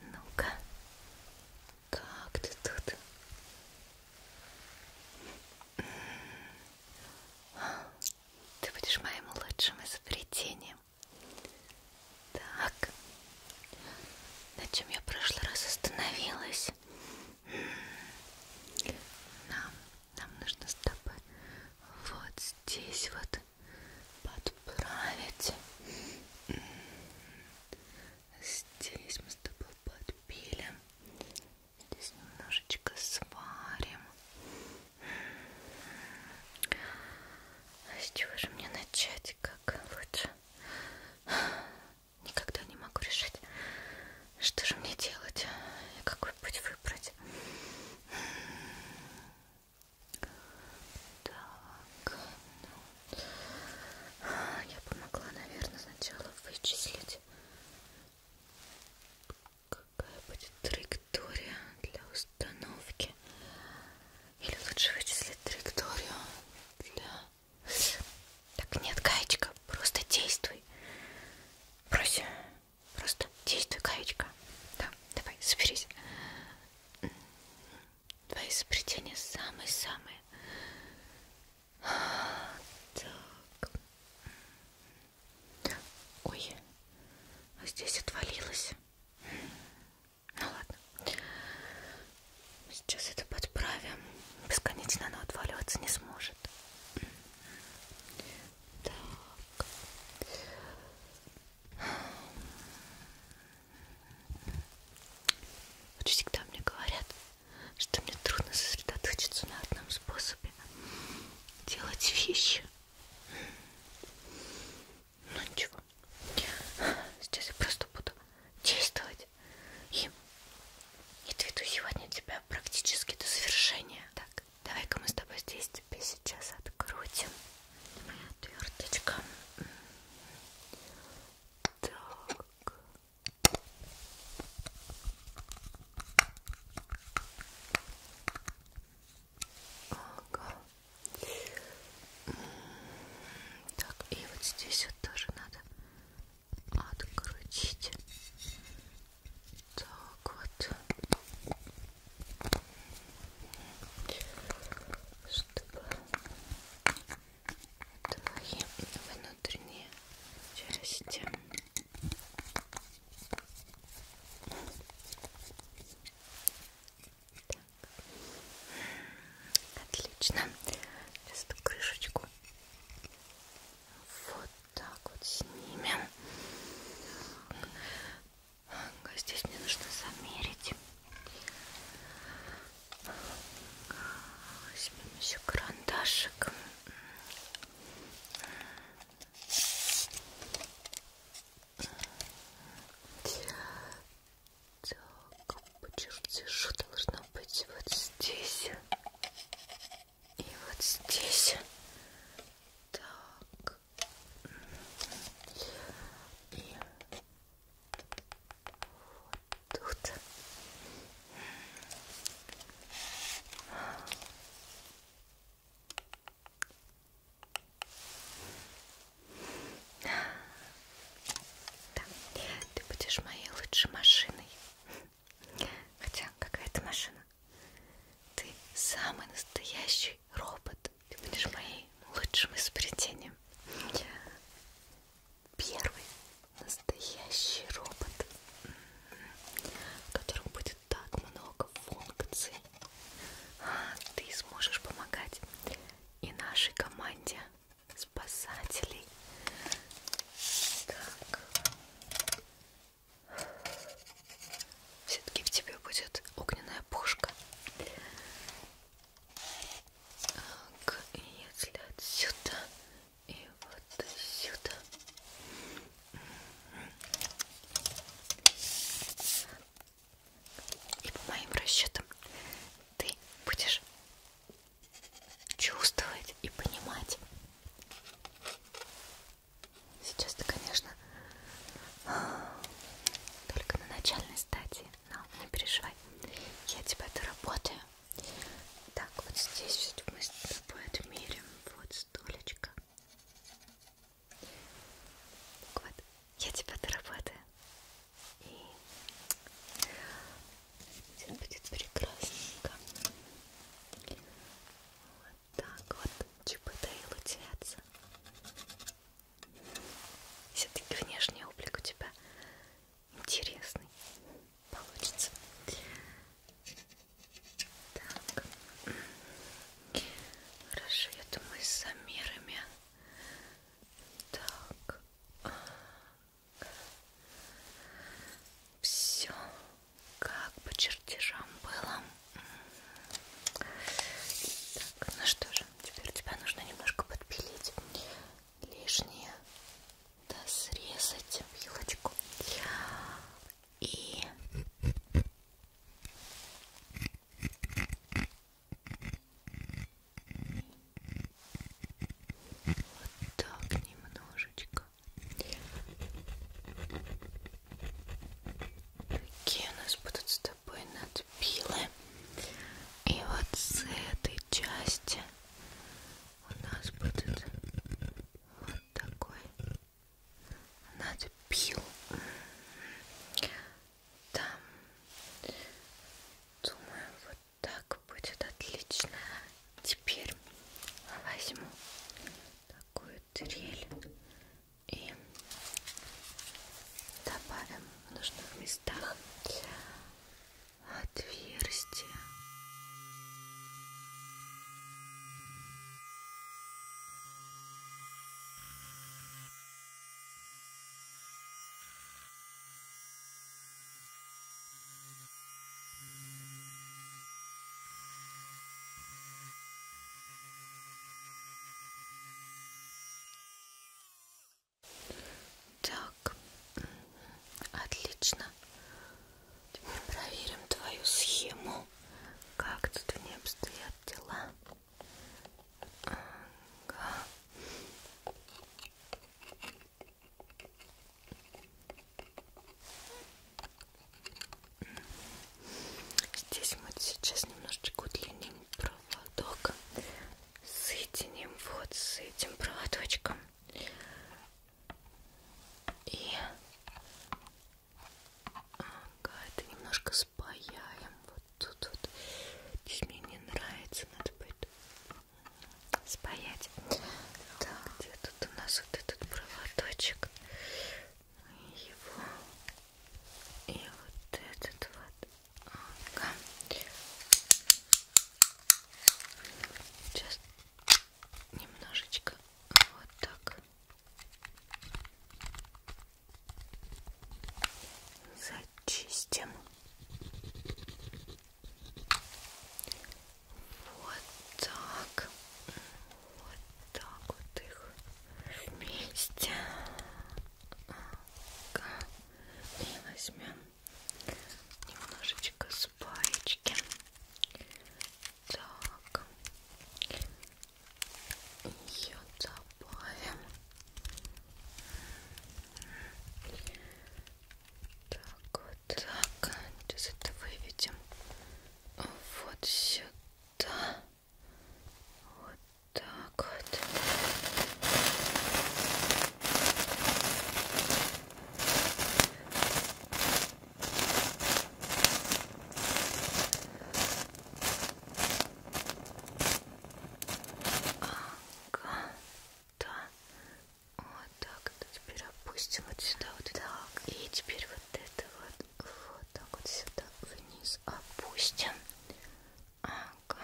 Ну-ка, как ты тут? Ты будешь моим лучшим изобретением. Так, на чем я в прошлый раз остановилась? Нам, нам нужно с тобой вот здесь вот подправить. Здесь мы с тобой подпилим. Здесь немножечко сварим. А с чего же мне начать? Как лучше? Никогда не могу решить, что же мне делать и какой путь выбрать. Так, ну, я помогла, наверное, сначала вычислить, какая будет траектория для установки. Или лучше вычислить траекторию для... Так, нет, гаечка, просто действуй. Проси, просто действуй, гаечка. Да, давай, соберись. Твои изобретения самые-самые. Так. Ой, а здесь отвалилось. Ну ладно. Сейчас это подправим. Бесконечно оно отваливаться не сможет. Так. Вот всегда мне говорят, что мне трудно сосредоточиться на одном способе делать вещи. Ну ничего. Сейчас я просто буду действовать и, и доведу сегодня тебя практически до завершения. Так, давай-ка мы с тобой здесь тебе сейчас открутим моя отверточка. Так. Ага. Так, и вот здесь вот тоже надо открутить. Так вот чтобы твои внутренние части так. отлично сейчас эту крышечку вот так вот снимем Здесь мне нужно замерить. Возьмем еще карандашик. Так, по чертежу должно быть вот здесь и вот здесь. Так. И вот тут. Да, ты будешь моей лучшей машиной. Хотя какая-то машина. Ты самый настоящий робот. Ты будешь моим лучшим изобретением. Первый настоящий робот, в котором будет так много функций. А, ты сможешь помогать и нашей команде спасателей. Так. Все-таки в тебе будет огненная пушка. Так, если отсюда и вот сюда. И по моим расчетам ты будешь чувствовать и понимать. Сейчас ты, конечно, только на начальной стадии но ну, не переживай, я тебя доработаю. Так, вот здесь мы с тобой отмерим вот столечко. Вот, я тебя доработаю. И все будет прекрасненько. Вот так вот, чипы да и лутятся. Все-таки внешний облик у тебя интересный получится. Так. Хорошо, я думаю, с замерами. Так. Все как по чертежам было. Так, ну что же, Теперь тебя нужно немножко подпилить лишнее, да срезать вилочку и вот так немножечко. Какие у нас будут с тобой на зацепила. И вот с этой части у нас будет вот такой надпил. Там, думаю, вот так будет отлично. Теперь возьму такую трель и добавим в нужных местах отверстия. Так, отлично. Теперь проверим твою схему. Как тут у нее обстоят дела? Ага. Здесь мы сейчас немножечко удлиним проводок соединим вот с этим проводочком и ага, это немножко спаяем вот тут вот здесь мне не нравится надо будет спаять так где тут у нас вот этот проводочек его и вот этот вот Ага. Сейчас немножечко вот так зачистим. Вот так. Вот так вот их вместе и возьмем немножечко спаечки. Так, ее добавим. Так, вот так. Сейчас это выведем вот сюда. Вот так вот. Ага, да. Вот так вот теперь опустим вот сюда вот так. И теперь вот это вот вот так вот сюда вниз опустим. Ага. Так.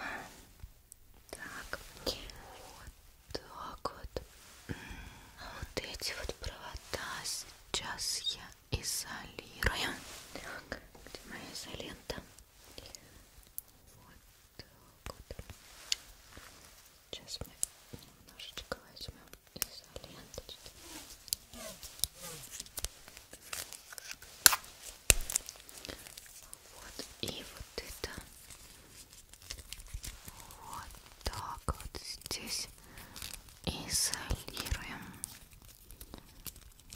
Вот так вот. А вот эти вот провода сейчас я изолирую. Так, где моя изолента? Вот так вот. Сейчас мы немножечко возьмем изоленточки. Вот, и вот это. Вот так вот здесь изолируем.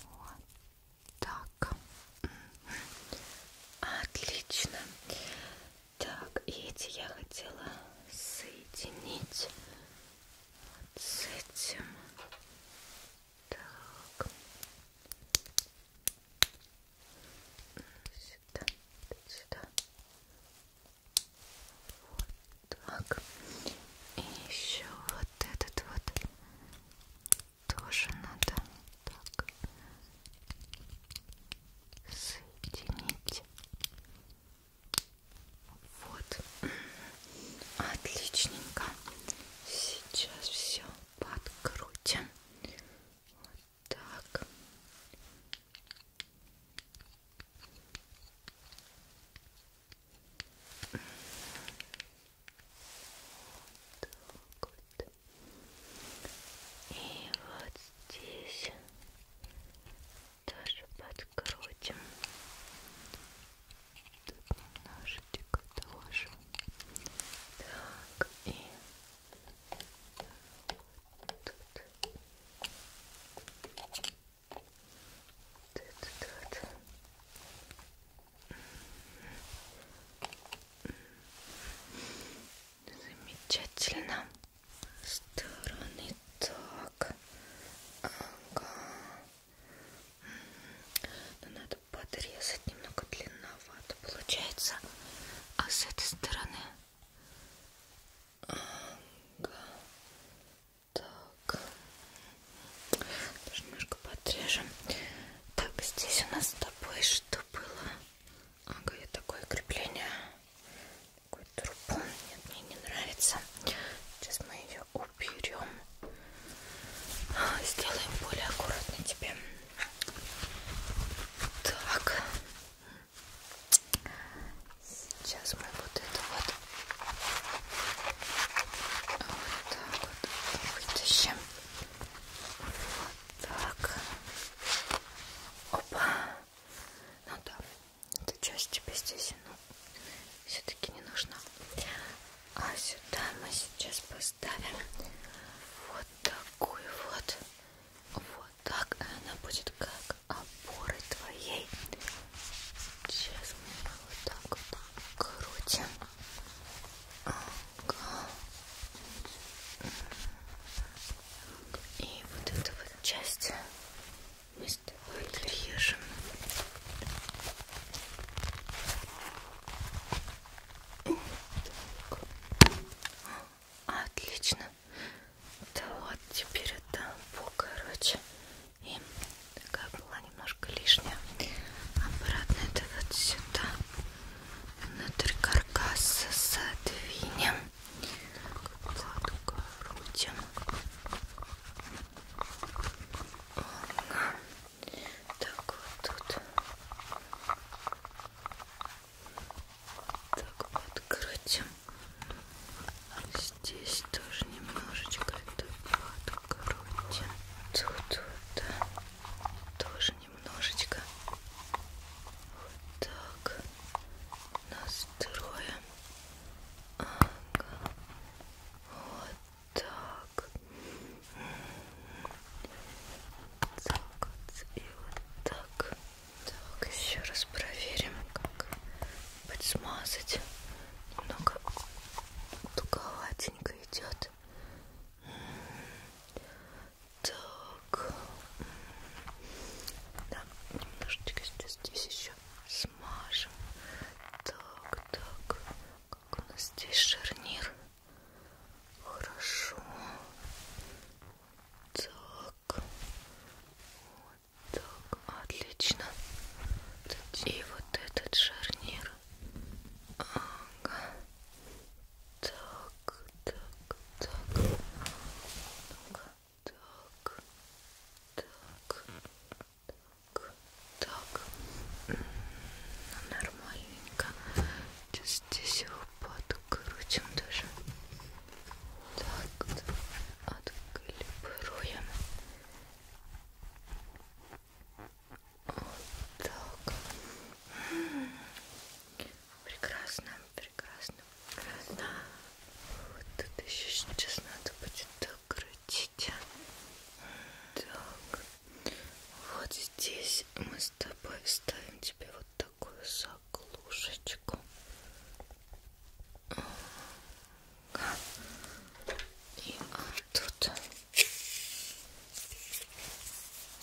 Вот так. Отлично. Так, и эти я хотела соединить вот с этим. Так. Сюда, сюда. Вот так. И еще вот этот вот тоже надо так соединить. Вот. Отличненько. Сейчас все подкрутим. Вот так. так вот. И вот здесь тоже подкрутим тут немножечко тоже так и тут тут, тут. Замечательно. Стороны так. Ага. Но надо подрезать немного длинновато. Получается, а с этой стороны... Ага. Так. Даже немножко подрежем. Так, здесь у нас с тобой что было? Ага, я такое крепление. Такую трубу. Нет, мне не нравится. Сейчас мы ее уберем берем, а, сделаем более аккуратно тебе. Так, сейчас мы вот это вот, вот так вот вытащим. Вот так. Опа. Ну да, эта часть тебе здесь все-таки не нужна. А сюда мы сейчас поставим вот такую вот. Вот так. Она будет как опоры твоей. Сейчас мы вот так вот крутим. Ага. И вот эту вот часть мы Отлично. Отлично. Да вот теперь это короче. И такая была немножко лишняя. Обратно это вот сюда. Внутрь каркаса задвинем. Подкрутим. Ладно. Так, вот тут. Так, подкрутим. Здесь тоже немножечко это подкрутим. Тут вот, да. Э, тоже немножечко. Вот так. Настроим. Ага. Вот так. Так и вот так. Так, еще раз проверим, как подсмазать. Немного туговатенько идет. Так. Да, немножечко здесь, здесь еще смажем. Так, так. Как у нас здесь шарнир. Хорошо. Так. Вот так. Отлично. И вот этот шарнир. Ага. Так, так, так. Ну так, так, так, так. Ну, нормальненько. Сейчас здесь его подкрутим даже. Так, отклипируем. Вот так. Прекрасно, прекрасно, прекрасно. Вот тут еще сейчас надо будет докрутить пальчики. Так, вот здесь мы с тобой ставим тебе вот такую заглушечку. И вот тут.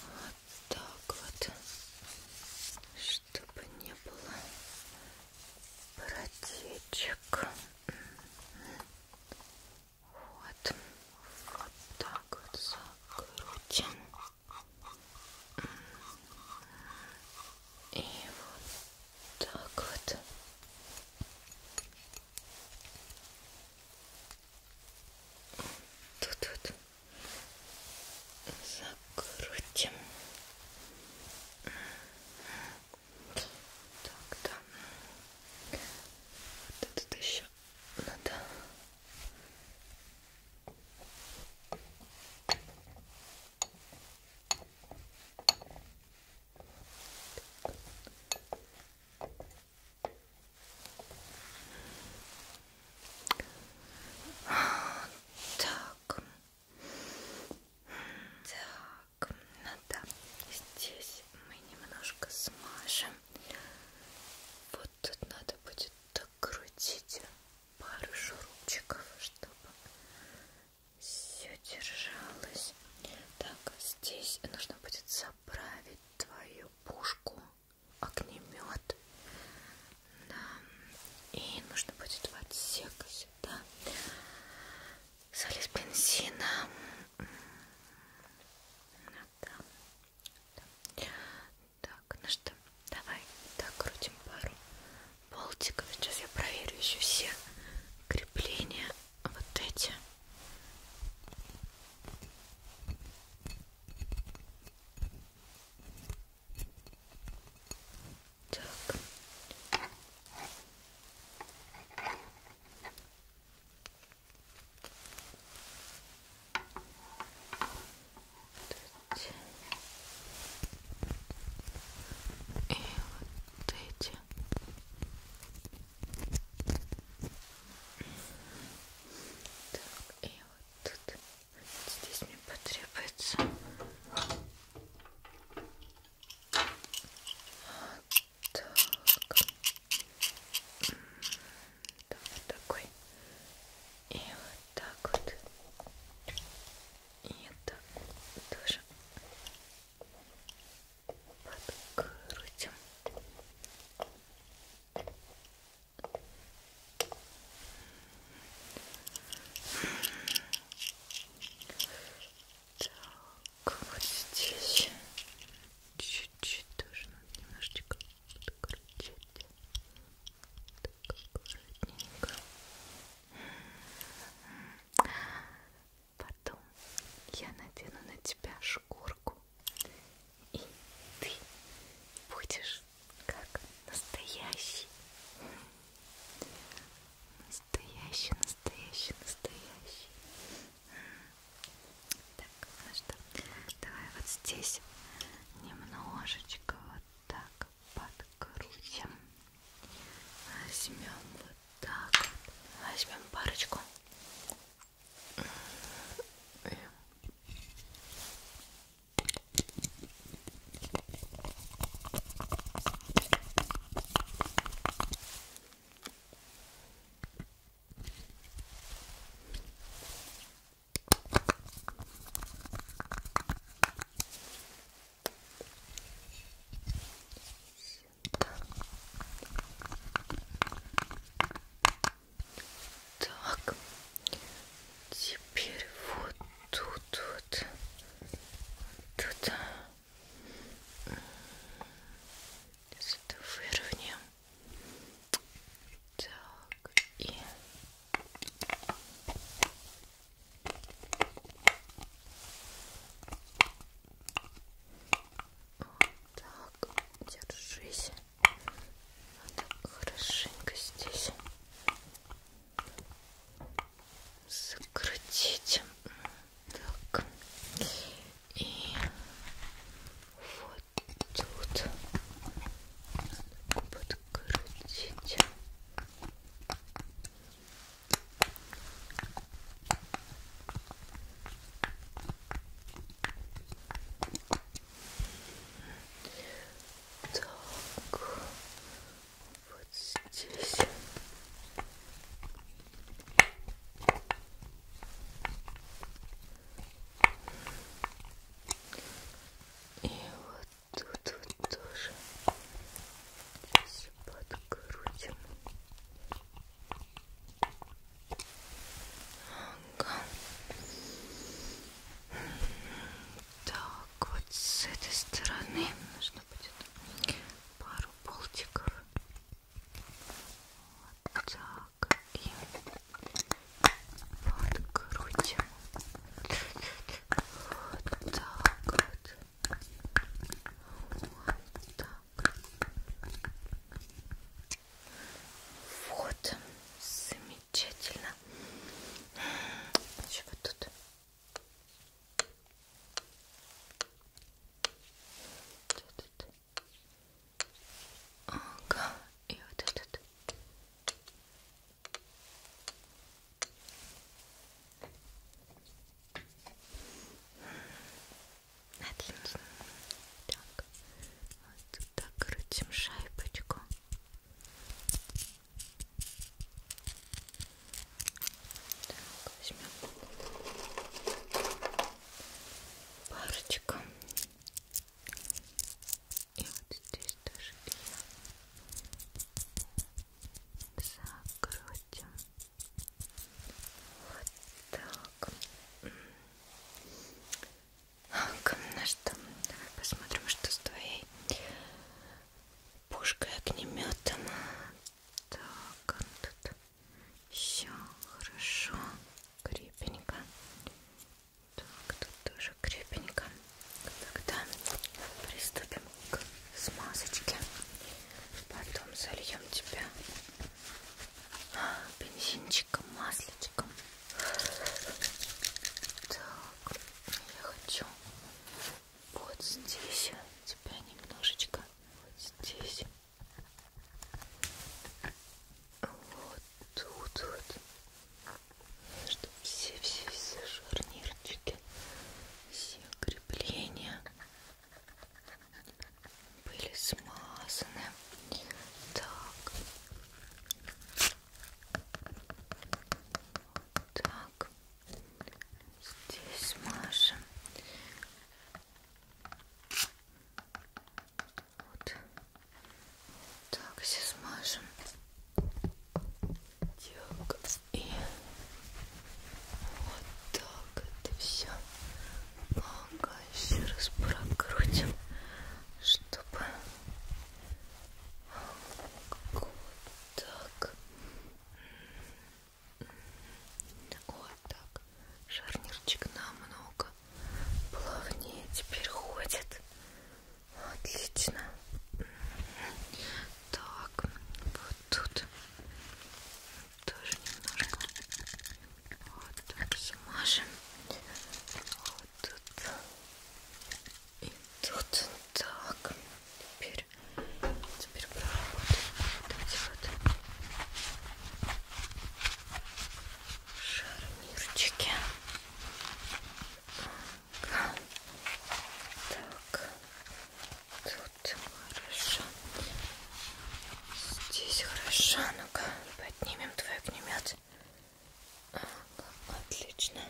Вот так вот. Чтобы не было протечек. Вот. Вот так вот закрутим. И вот так вот. Тут вот закрутим. Так, да. Вот этот еще надо. Так. Так. Так, ну да, здесь мы немножко смажем. Вот тут надо будет докрутить пару шурупчиков, чтобы все держалось. Так, здесь нужно будет заправить твою пушку, огнемет. Да. И нужно будет в отсек сюда соль из бензина. Да. Да. Так, ну что, давай так крутим пару болтиков. Сейчас я проверю еще все крепления. Вот эти. Так вот эти. И вот эти. Так, и вот тут. Здесь мне потребуется так. Да, вот такой. И вот так вот. И это тоже подкрутим. Так вот здесь чуть-чуть тоже надо немножечко подкрутить так аккуратненько потом я надену на тебя шкурку и ты будешь как настоящий Настоящий, настоящий, настоящий. Так, ну что, давай вот здесь немножечко вот так подкрутим. Возьмем вот так. Возьмем парочку. Так, теперь вот тут вот, тут Сейчас это выровняем. Так, и... Вот так, держись. Надо хорошенько здесь закрутить. Так. И вот тут подкрутить. Так, вот здесь. И вот тут вот тоже здесь подкрутим. Ага. Так, вот с этой стороны нужно будет пару болтиков. Вот так. И подкрутим. Вот так вот. Вот так. Вот. Замечательно. Еще вот тут вот этот. Ага, и вот этот. Отлично. Так, вот так крутим шайбочку. Так, возьмем парочку. И вот здесь тоже ее закрутим. Вот так. Так, ну что, давай посмотрим, что с твоей пушкой огнеметом так, он тут все хорошо, крепенько. Так, тут тоже крепенько. Тогда приступим к смазочке. Потом зальем тебя бензинчиком, масличком. Так, я хочу вот здесь тебя немножечко вот здесь, вот тут вот, чтобы все-все-все шарнирчики, все крепления были смазаны. Так. Так так здесь мажем вот так сейчас мажем так и вот так это все ага, еще раз прокрутим чтобы вот так вот так. Шарнирчик намного плавнее теперь ходит. Отлично. Так, вот тут тоже немножко. Вот так замажем. Вот тут. И тут так. Теперь Теперь проработаем вот эти вот шарнирчики. Так, тут хорошо. Здесь хорошо. Ну-ка, поднимем твой огнемет. Отлично,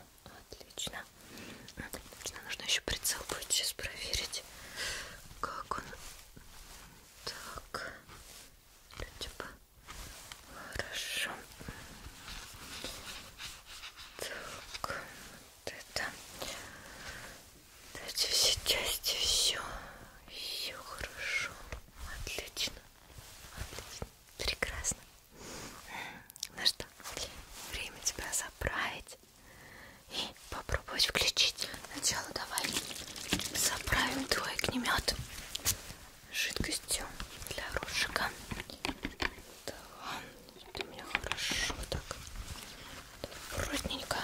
отлично. Отлично. Нужно еще прицел будет сейчас проверить, как он. Так, типа хорошо. Так, вот это. Эти все части, все, все хорошо, отлично, отлично, прекрасно. Ну что, время тебя заправить и попробовать включить. Сначала давай заправим твой огнемет жидкостью для рожика. Да, это у меня хорошо так. Аккуратненько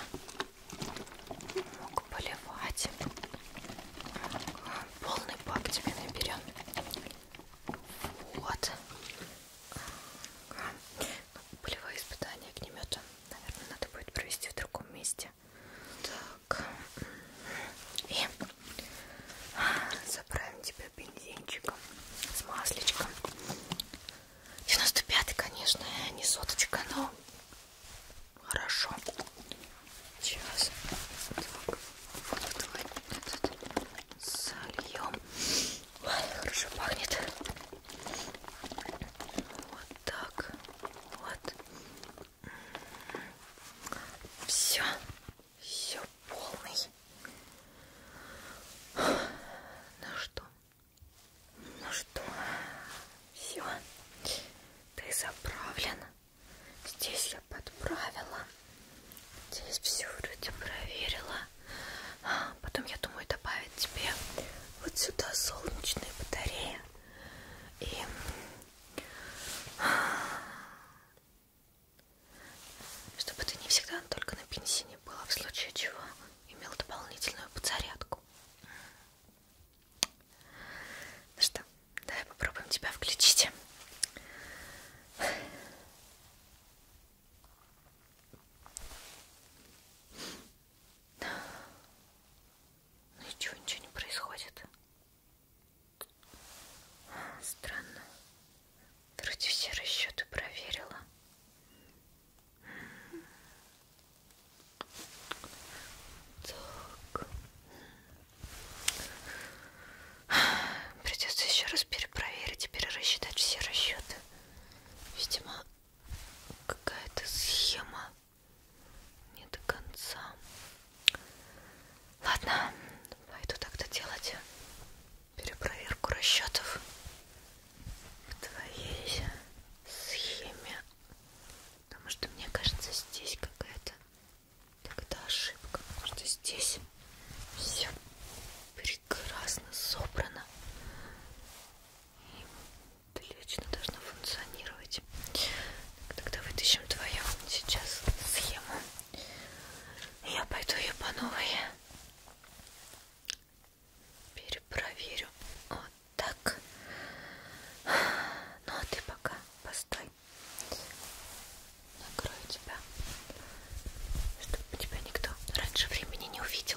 мог поливать. Полный бак тебе наберем. Вот. Ага. Ну, полевое испытание огнемета, наверное, надо будет провести в другом месте. Так. И заправим тебя бензинчиком с масличком. 95 конечно, не соточка, но хорошо. Сейчас так, вот этот сольем. Хорошо пахнет. Вот так. Вот. Все. Все полный. Ну что? Ну что? Все. Ты заправлен. Здесь я подправила. Здесь все вроде проверила. Потом я думаю добавить тебе вот сюда солнечные батареи и чтобы ты не всегда только на бензине была, в случае чего имел дополнительную подзарядку. Ну что, давай попробуем тебя включить. Ничего, ничего не происходит. Странно. Вроде все расчеты проверила. Так. Придется еще раз перепроверить и перерасчитать все расчеты. Видимо, какая-то схема не до конца. Ладно, пойду тогда делать перепроверку расчетов в твоей схеме. Потому что мне кажется, здесь какая-то тогда ошибка. Потому что здесь все прекрасно собрано и отлично должно функционировать. Тогда вытащим твою сейчас схему. Я пойду ее по новой перепроверю. Вот так. Ну а ты пока постой. Накрою тебя, чтобы тебя никто раньше времени не увидел.